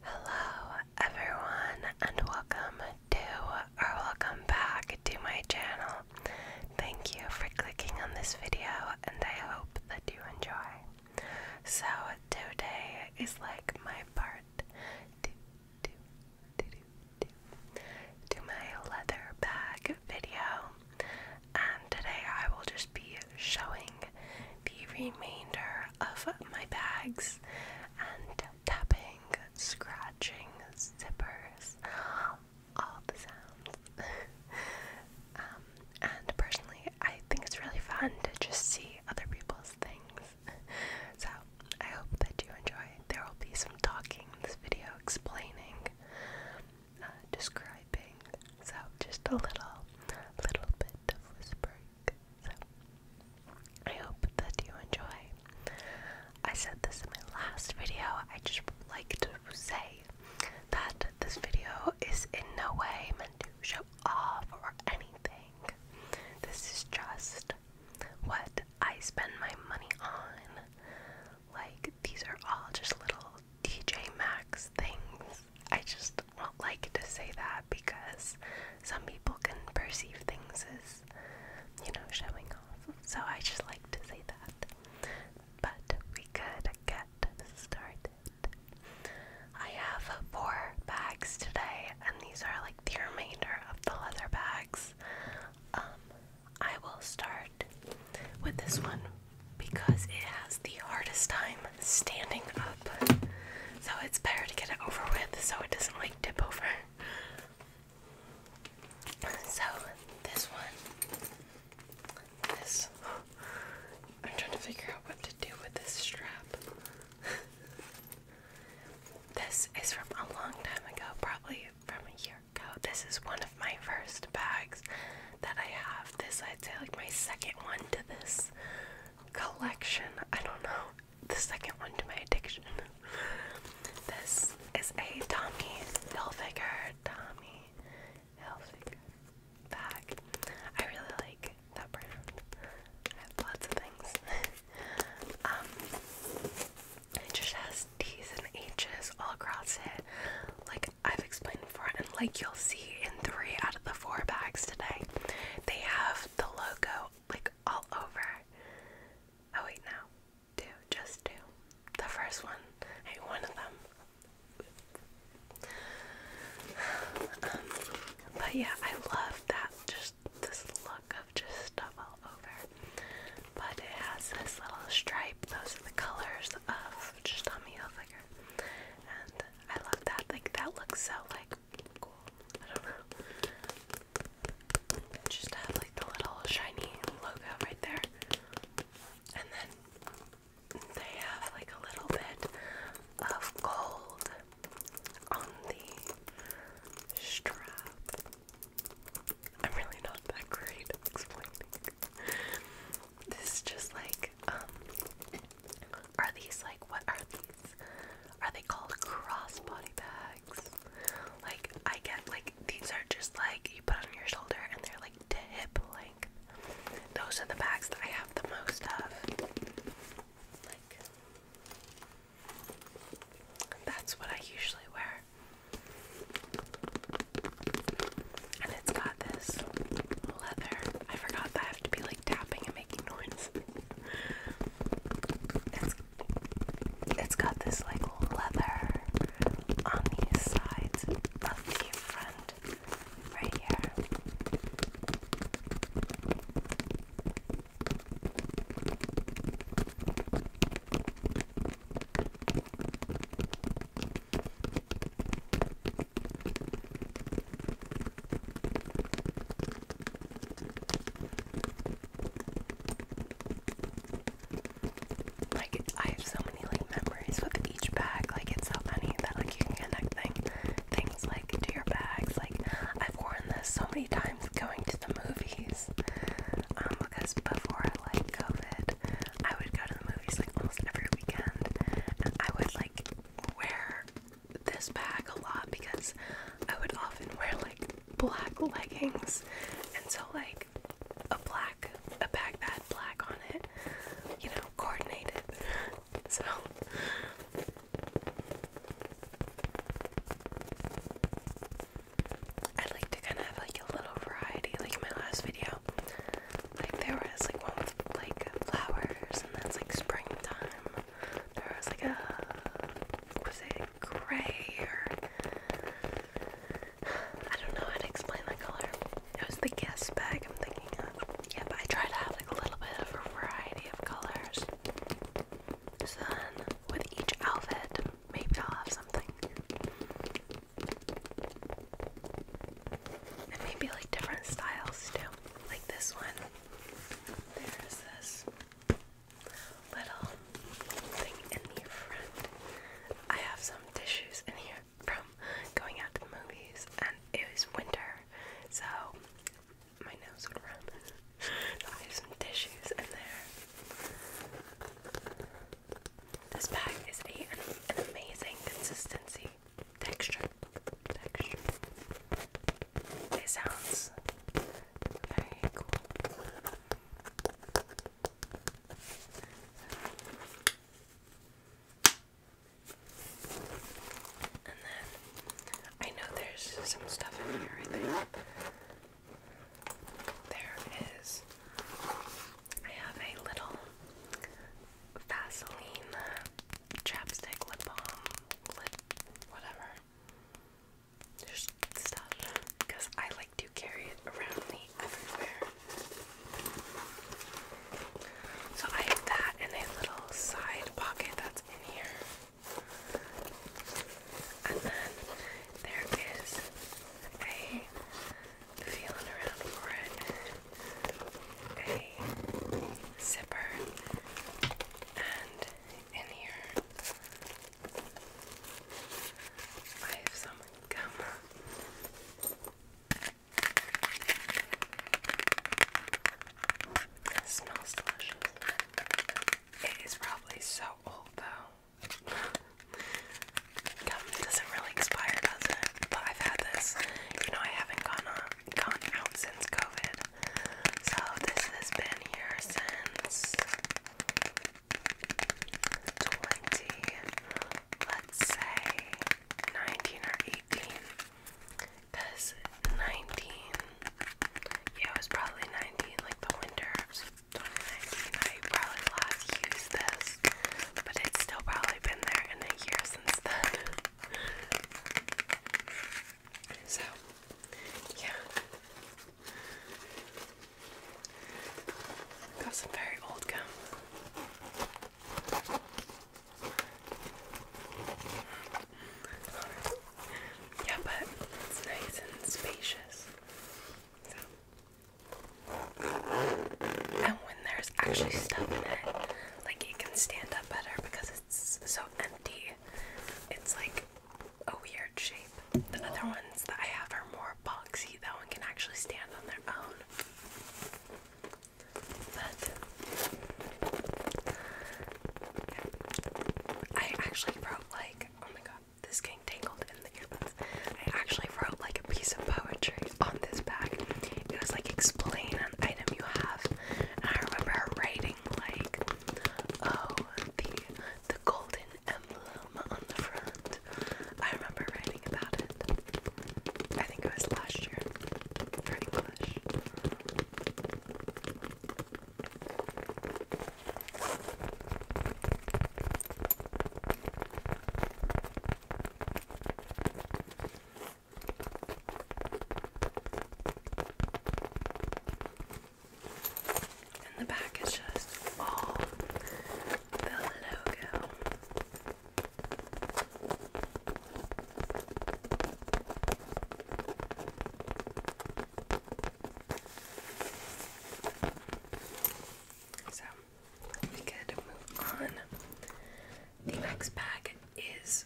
Hello everyone and welcome to or welcome back to my channel. Thank you for clicking on this video and I hope that you enjoy. So today is like my part to, to, my leather bag video and today I will just be showing the remainder of my bags and tapping, scratching zippers, all the sounds. Um, and personally, I think it's really fun to just see other people's things. so I hope that you enjoy. There will be some talking in this video, explaining, uh, describing. So just a little, little bit of whispering. So, I hope that you enjoy. I said this in my last video, I just like to say that this video is in no way meant to show off or anything. This is just what I spend my money on. Like, these are all just little DJ Max things I just do not like to say that because some people can perceive things as, you know, showing off. So I just like to say that. But we could get started. I have four bags today, and these are like the remainder of the leather bags. Um, I will start with this one because it has the hardest time standing up. So it's better to get it over with so it doesn't like dip over. So this one, this, I'm trying to figure out what to do with this strap. this is from a long time ago, probably from a year ago. This is one of my first bags that I have. This, I'd say, like my second one to this collection. I don't know. The second one to my addiction. this is a Tommy Hilfiger. Tommy Hilfiger bag. I really like that brand. I have lots of things. um, it just has T's and H's all across it. Like I've explained and like you'll see in three out of the four bags today, they have the logo like all over. Oh, wait, no, two, just two. The first one, I one of them. but yeah, I love that just this look of just stuff all over. But it has this little stripe, those are the colors of just on me and I love that. Like that looks so like cool. I don't know. Just have like the little shiny logo right there. And then they have like a little bit of gold on the strap. I'm really not that great explaining. This is just like um, are these like what are these? Are they called crossbody bags? Like I get like these are just like you put on your shoulder and they're like to hip length. Those are the bags that I have the most of. Like that's what I usually wear. And it's got this leather. I forgot that I have to be like tapping and making noise. it's got this like leather on these sides of the front right here. Like I have so many like memories with each bag. Like so funny that like you can connect thing, things like to your bags. Like I've worn this so many times going to the movies. Um, because before like COVID, I would go to the movies like almost every weekend, and I would like wear this bag a lot because I would often wear like black leggings, and so like a black a bag that black on it, you know, coordinated. So. I'd like to kind of have like a little variety, like in my last video, like there was like one with like flowers, and that's like springtime. There was like a was it gray or I don't know how to explain the color. It was the guest bag I'm thinking of. Yeah, I try to have like a little bit of a variety of colors. So then with each outfit, maybe I'll have something. And maybe like different styles too. Like this one. There's this little thing in the front. I have some tissues in here from going out to the movies, and it was winter, so my nose would run. so I have some tissues in there. This bag is a, an amazing consistency texture. Texture. It sounds very cool. And then I know there's some stuff in here, I think. There is. I have a little Vaseline chapstick lip balm lip whatever. Just stuff because I like to carry it around me everywhere. So I have that in a little side pocket that's in here. And then there is a feeling around for it. A zipper, and in here I have some gum. smells delicious. It is probably so old though. It doesn't really expire, does it? But I've had this. You know, I haven't gone up, gone out since COVID. So this has been here since 20, let's say 19 or 18. Because 19, yeah, it was probably 19, like the winter. 2019, I probably last used this but it's still probably been there in a year since then. so, yeah. Got some very old gum. Yeah, but it's nice and spacious. So. And when there's actually stuff in it, like it can stand up better because it's so empty. It's like a weird shape. The other ones that I have are more boxy. That one can actually stand on their own. But I actually wrote like, oh my god, this getting tangled in the earbuds. I actually wrote like a piece of poetry on this bag. It was like explain an item you have, and I remember writing like, "Oh, the the golden emblem on the front." I remember writing about it. I think it was last year for English. And the back is just all the logo. So we could move on. The next bag is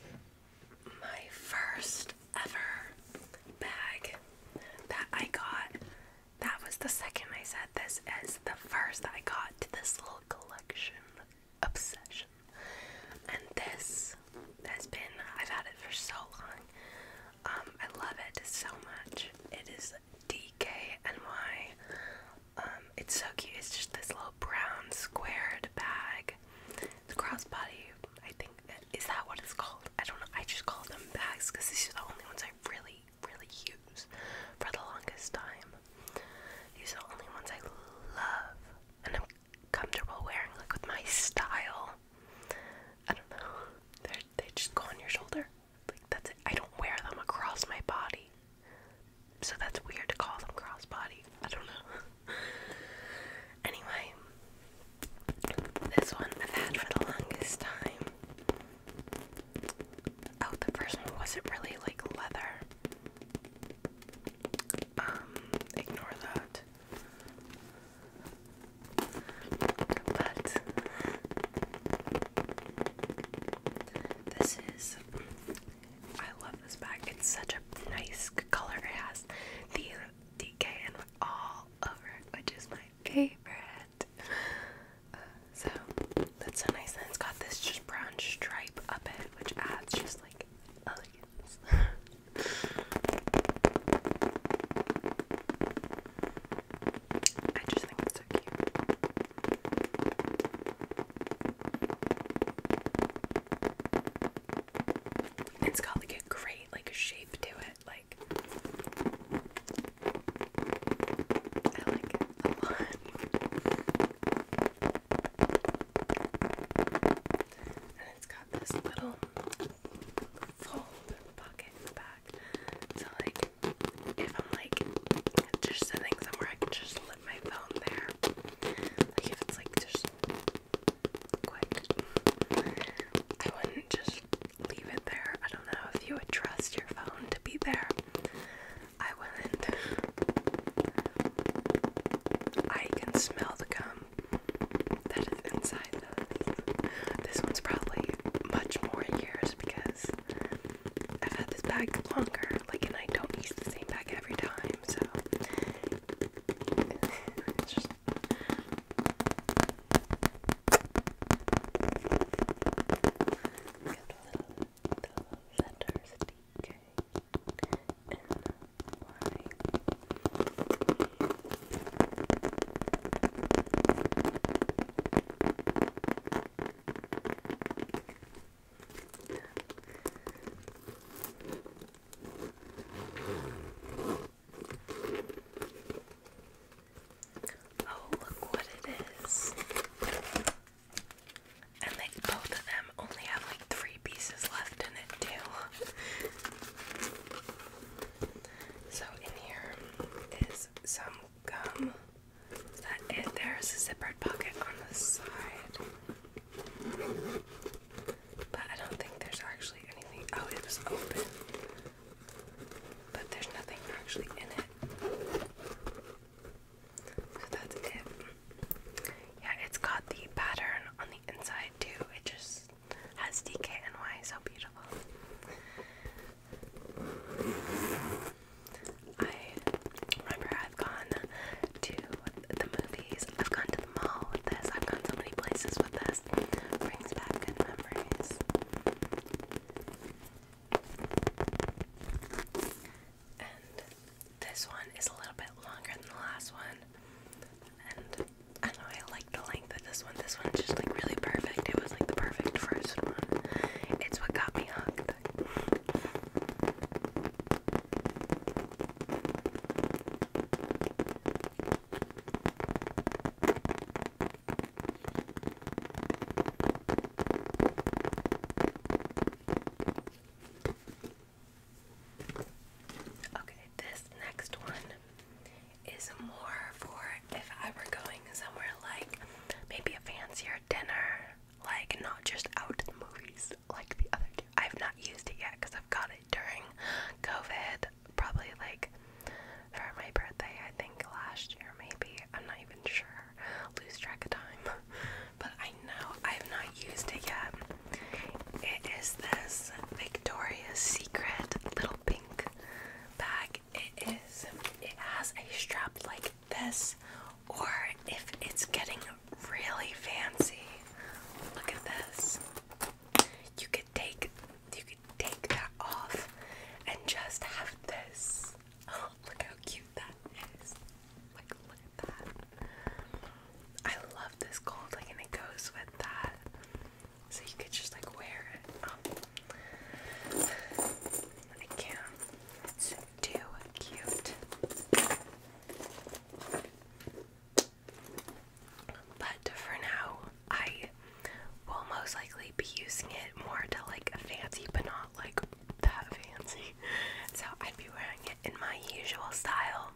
my first ever bag that I got. That was the second I said this as the first that I got to this little collection obsession. And this has been, I've had it for so long. Um, I love it so much. It is DKNY um, it's so cute. It's just this little brown squared bag. The crossbody, I think, is that what it's called? I don't know. I just call them bags because these are the only ones I really, really use for the longest time. These are the only ones I love and I'm comfortable wearing, like with my style. I don't know. they they just go on your shoulder. Like, that's it. I don't wear them across my body. So that's weird to call them crossbody. I don't know. anyway, this one I've had for the longest time. Oh, the first one wasn't really like leather. Um, ignore that. But this is I love this bag. It's such a nice color. It has the DKN all over it, which is my favorite. Uh, so that's so nice. And it's got this just brown stripe up it, which adds just like elegance. I just think it's got like a great like shape to it, like I like a lot. And it's got this little fold pocket in the back. So like if I'm like just sitting somewhere, I can just let my phone there. Like if it's like just quick, I wouldn't just leave it there. I don't know if you would trust your phone to be there. I wouldn't. I can smell the gum that is inside this. This one's probably much more years because I've had this bag longer, like, and I don't use the same bag every time, so Oh, look what it is. And like both of them only have like three pieces left in it, too. so, in here is some gum that there is a zippered pocket on the side. But I don't think there's actually anything. out. Oh, it was open. But there's nothing actually in it. So that's it. Yeah, it's got the pattern on the inside too. It just has DKNY, so beautiful. I remember I've gone to the movies, I've gone to the mall with this, I've gone so many places with this. Brings back good memories. And this one is a little bit longer than the last one. And I don't know, I like the length of this one. This one's just like really perfect. It was like the perfect first one. It's what got me hooked. Okay, this next one is more for if I were going somewhere like maybe a fancier dinner, like not just out to the movies like the other two. I've not used it yet because I've got it during COVID, probably like for my birthday, I think last year, maybe. I'm not even sure. Lose track of time. but I know I've not used it yet. It is this Victoria's Secret little pink bag think it is it has a strap like this or if it's getting really fancy look at this you could take you could take that off and just have this oh look how cute that is like look at that I love this gold like and it goes with that so you could just like wear it um, I can't. It's too cute. But for now, I will most likely be using it more to like fancy, but not like that fancy. So I'd be wearing it in my usual style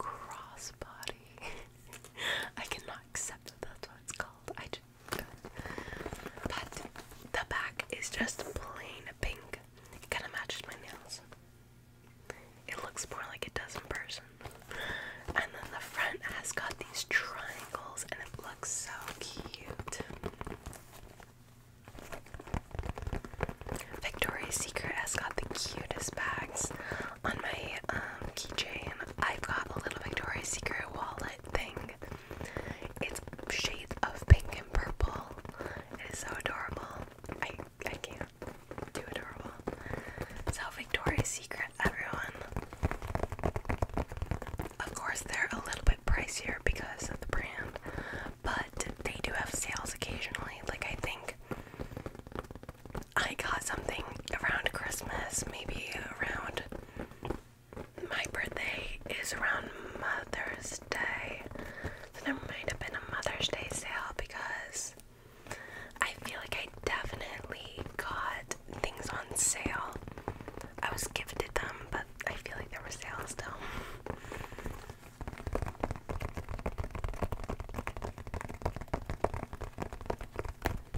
crossbody. I cannot accept that's what it's called. I but the back is just plain pink. kind of matches my nails. It looks more like it does in person. And then the front has got these triangles and it looks so cute. Victoria's Secret has got the cutest bags on my um, keychain. I've got a little Victoria's Secret wallet thing it's shades of pink and purple. It is so adorable. I I can't. do adorable. It's So Victoria's Secret, everyone. Of course, they're a little bit pricier because of the brand, but they do have sales occasionally. Like I think I got something around Christmas, maybe around my birthday is around Mother's Day. So there might have been a Mother's Day sale because I feel like I definitely got things on sale. I was gifted them, but I feel like there were sales still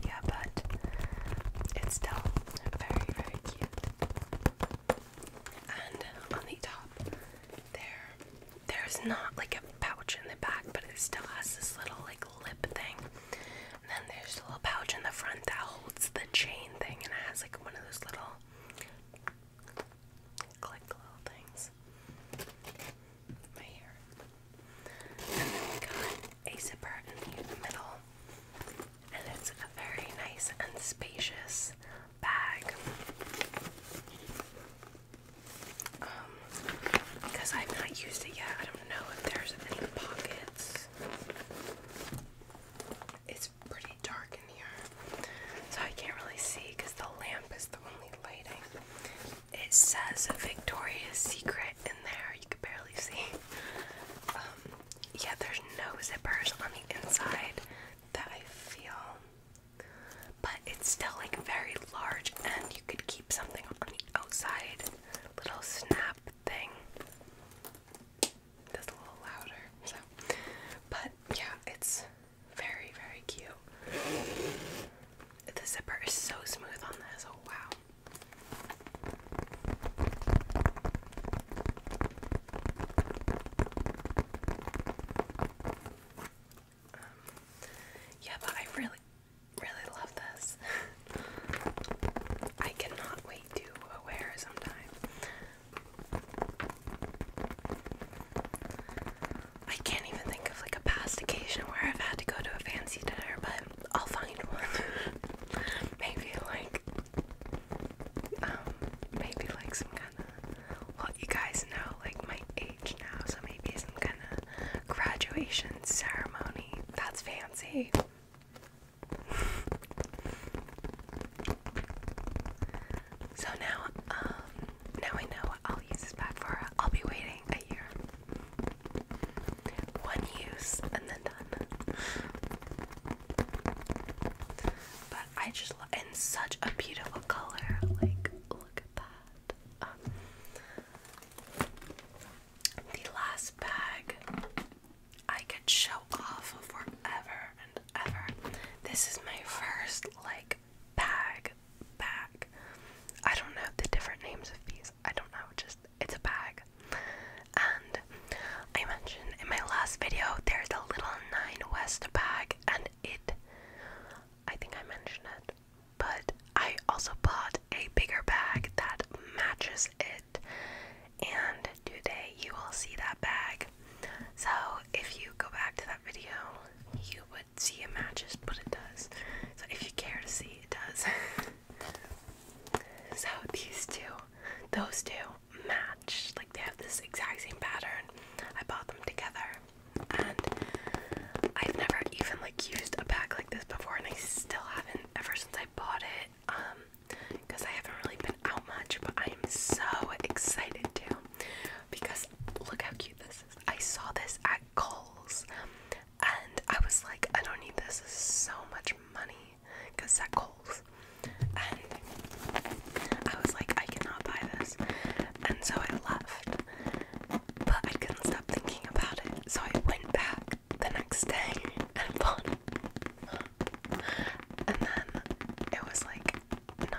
yeah, but it's still very, very cute. And on the top, there, there's not like a pouch in the back, but it still has this little like lip thing. And then there's a little pouch in the front that holds the chain thing, and it has like one of those little click little things. My hair. And then we got a zipper in the middle, and it's a very nice and spacious bag. Um, because I've not used it yet, I don't know if there's any pockets. It's pretty dark in here, so I can't really see because the lamp is the only lighting. It says Victoria's Secret in there, you can barely see. Um, yeah, there's no zippers on the inside that I feel, but it's still like very large, and you could keep something on the outside. Little snap thing. That's a little louder, so. But yeah, it's very, very cute. The zipper is so smooth on this. Oh wow. Um, yeah, but I really, really love this. I cannot wait to wear sometime. I can't even think of like a past occasion where I've had to go to a fancy dinner, but I'll find one. maybe like, um, maybe like some kind of, well, you guys know like my age now, so maybe some kind of graduation ceremony. That's fancy. so now, um, now I know what I'll use this bag for. I'll be waiting a year. One use and then done. But I just in such a beautiful color. Like, look at that. Um, the last bag I could show off forever and ever. This is my first like bag bag. I don't know the different names of these. I don't know, just it's a bag. And I mentioned in my last video there's a little nine west bag and it I think I mentioned it. But I also bought a bigger bag that matches it and today you will see that bag. So if you go back to that video you would see it matches but it does. So if you care to see it does So these two, those two match. Like they have this exact same pattern. I bought them together. And I've never even like used a bag like this before and I still haven't ever since I bought it. Um because I haven't really been out much, but I am so excited too. Because look how cute this is. I saw this at Kohl's and I was like, I don't need this. so much money because that Kohl's. And I was like, I cannot buy this. And so I left. But I couldn't stop thinking about it. So I went back the next day and bought it. And then it was like $90. And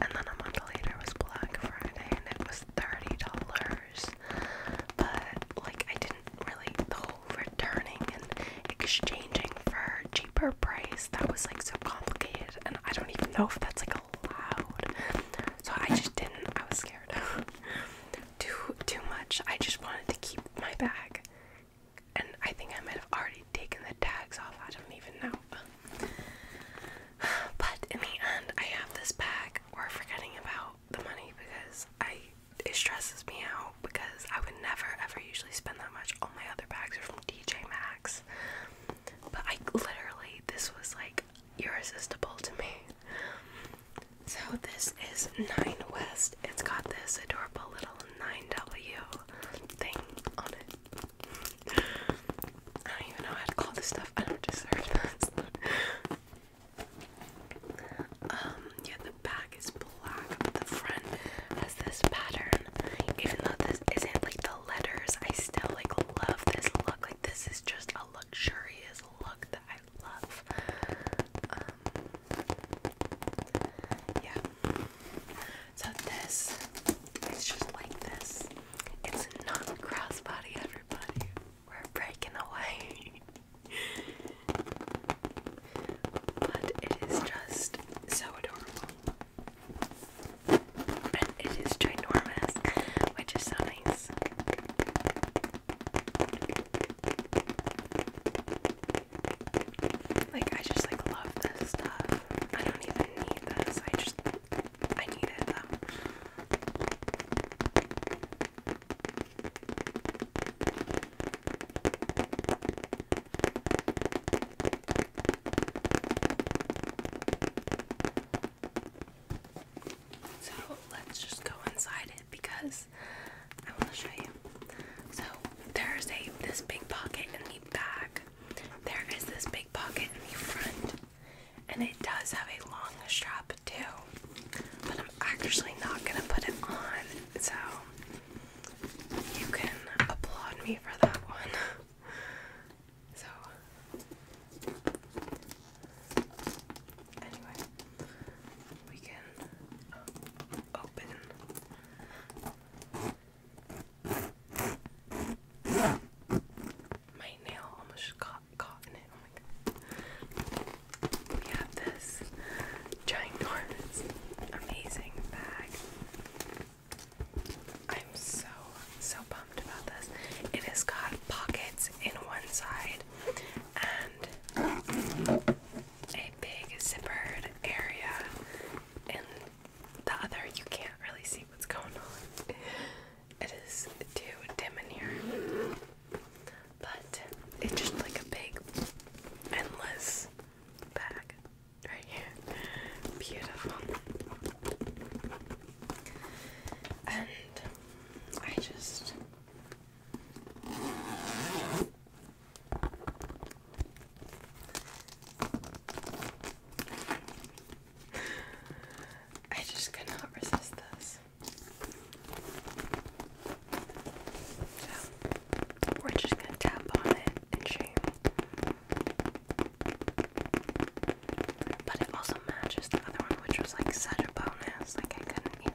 then a month later was Black Friday and it was $30. But like I did not really the whole returning and exchanging for cheaper price that was like so complicated and I don't even know if that's like allowed. So I just didn't I was scared. too too much. I just wanted to keep my bag. And I think I might have already taken the tags off. I don't even know. But in the end, I have this bag. We're forgetting about the money because I it stresses me out because I would never ever usually spend that much. All my other bags are from DJ Max But I literally this was like irresistible to me. So this is Nine West. It's got this adorable little 9W thing on it. I don't even know how to call this stuff. I don't deserve this. Um, yeah, the back is black, the front has this pattern. Even though this isn't like the letters, I still like love this look. Like this is just a luxurious look that I love. Um, yeah. So this is just like this. It's not crossbody, everybody. We're breaking away. but it is just so adorable. And it is ginormous, which is so nice. Like I just like love this stuff. I don't even need this. I just I needed them. So let's just go inside it because I want to show you. So there's a this big pocket in the back. There is this big pocket in the front and it does have a long strap too, but I'm actually not gonna put it on, so you can applaud me for that one. so, anyway, we can um, open. My nail almost got it. Oh we have this ginormous, amazing bag. I'm so, so pumped about this. It has got pockets in one side and a big zippered area in the other. You can't really see what's going on. It is too dim in here. But it's just like a big, endless bag right here. Beautiful. And I just. I just could not resist this. So we're just gonna tap on it and shame. But it also matches the other one, which was like such a bonus. Like I couldn't even.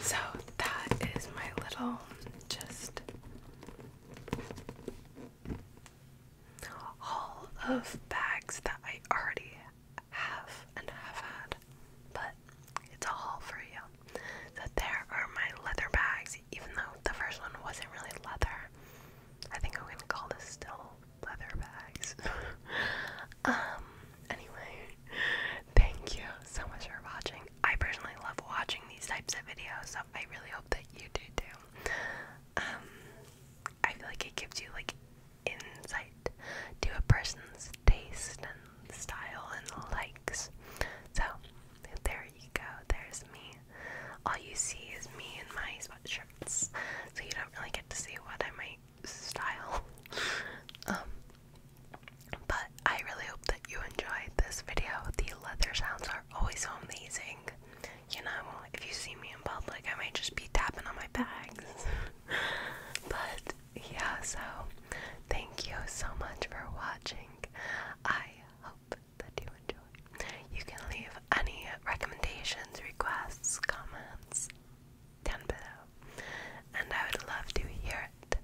so that is my little just haul of bags that I already have and have had, but it's a haul for you. So there are my leather bags, even though the first one wasn't really leather. I think I'm gonna call this still leather bags. um anyway, thank you so much for watching. I personally love watching these types of videos, so I really hope that you do too. Um, I feel like it gives you like insight to a person's taste and style and likes. So there you go. There's me. All you see is me and my sweatshirts, so you don't really get to see what I make style. um, but I really hope that you enjoyed this video. The leather sounds are always amazing. You know, if you see me in public, I might just be tapping on my bags. but yeah, so thank you so much for watching. I hope that you enjoy. You can leave any recommendations, requests, comments, down below, and I would love to hear it.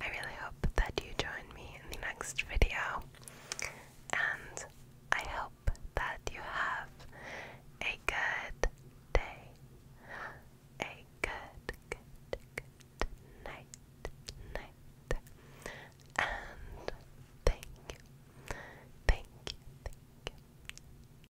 I really hope that you join me in the next video, and I hope that you have a good day, a good, night, night, and thank you, thank you.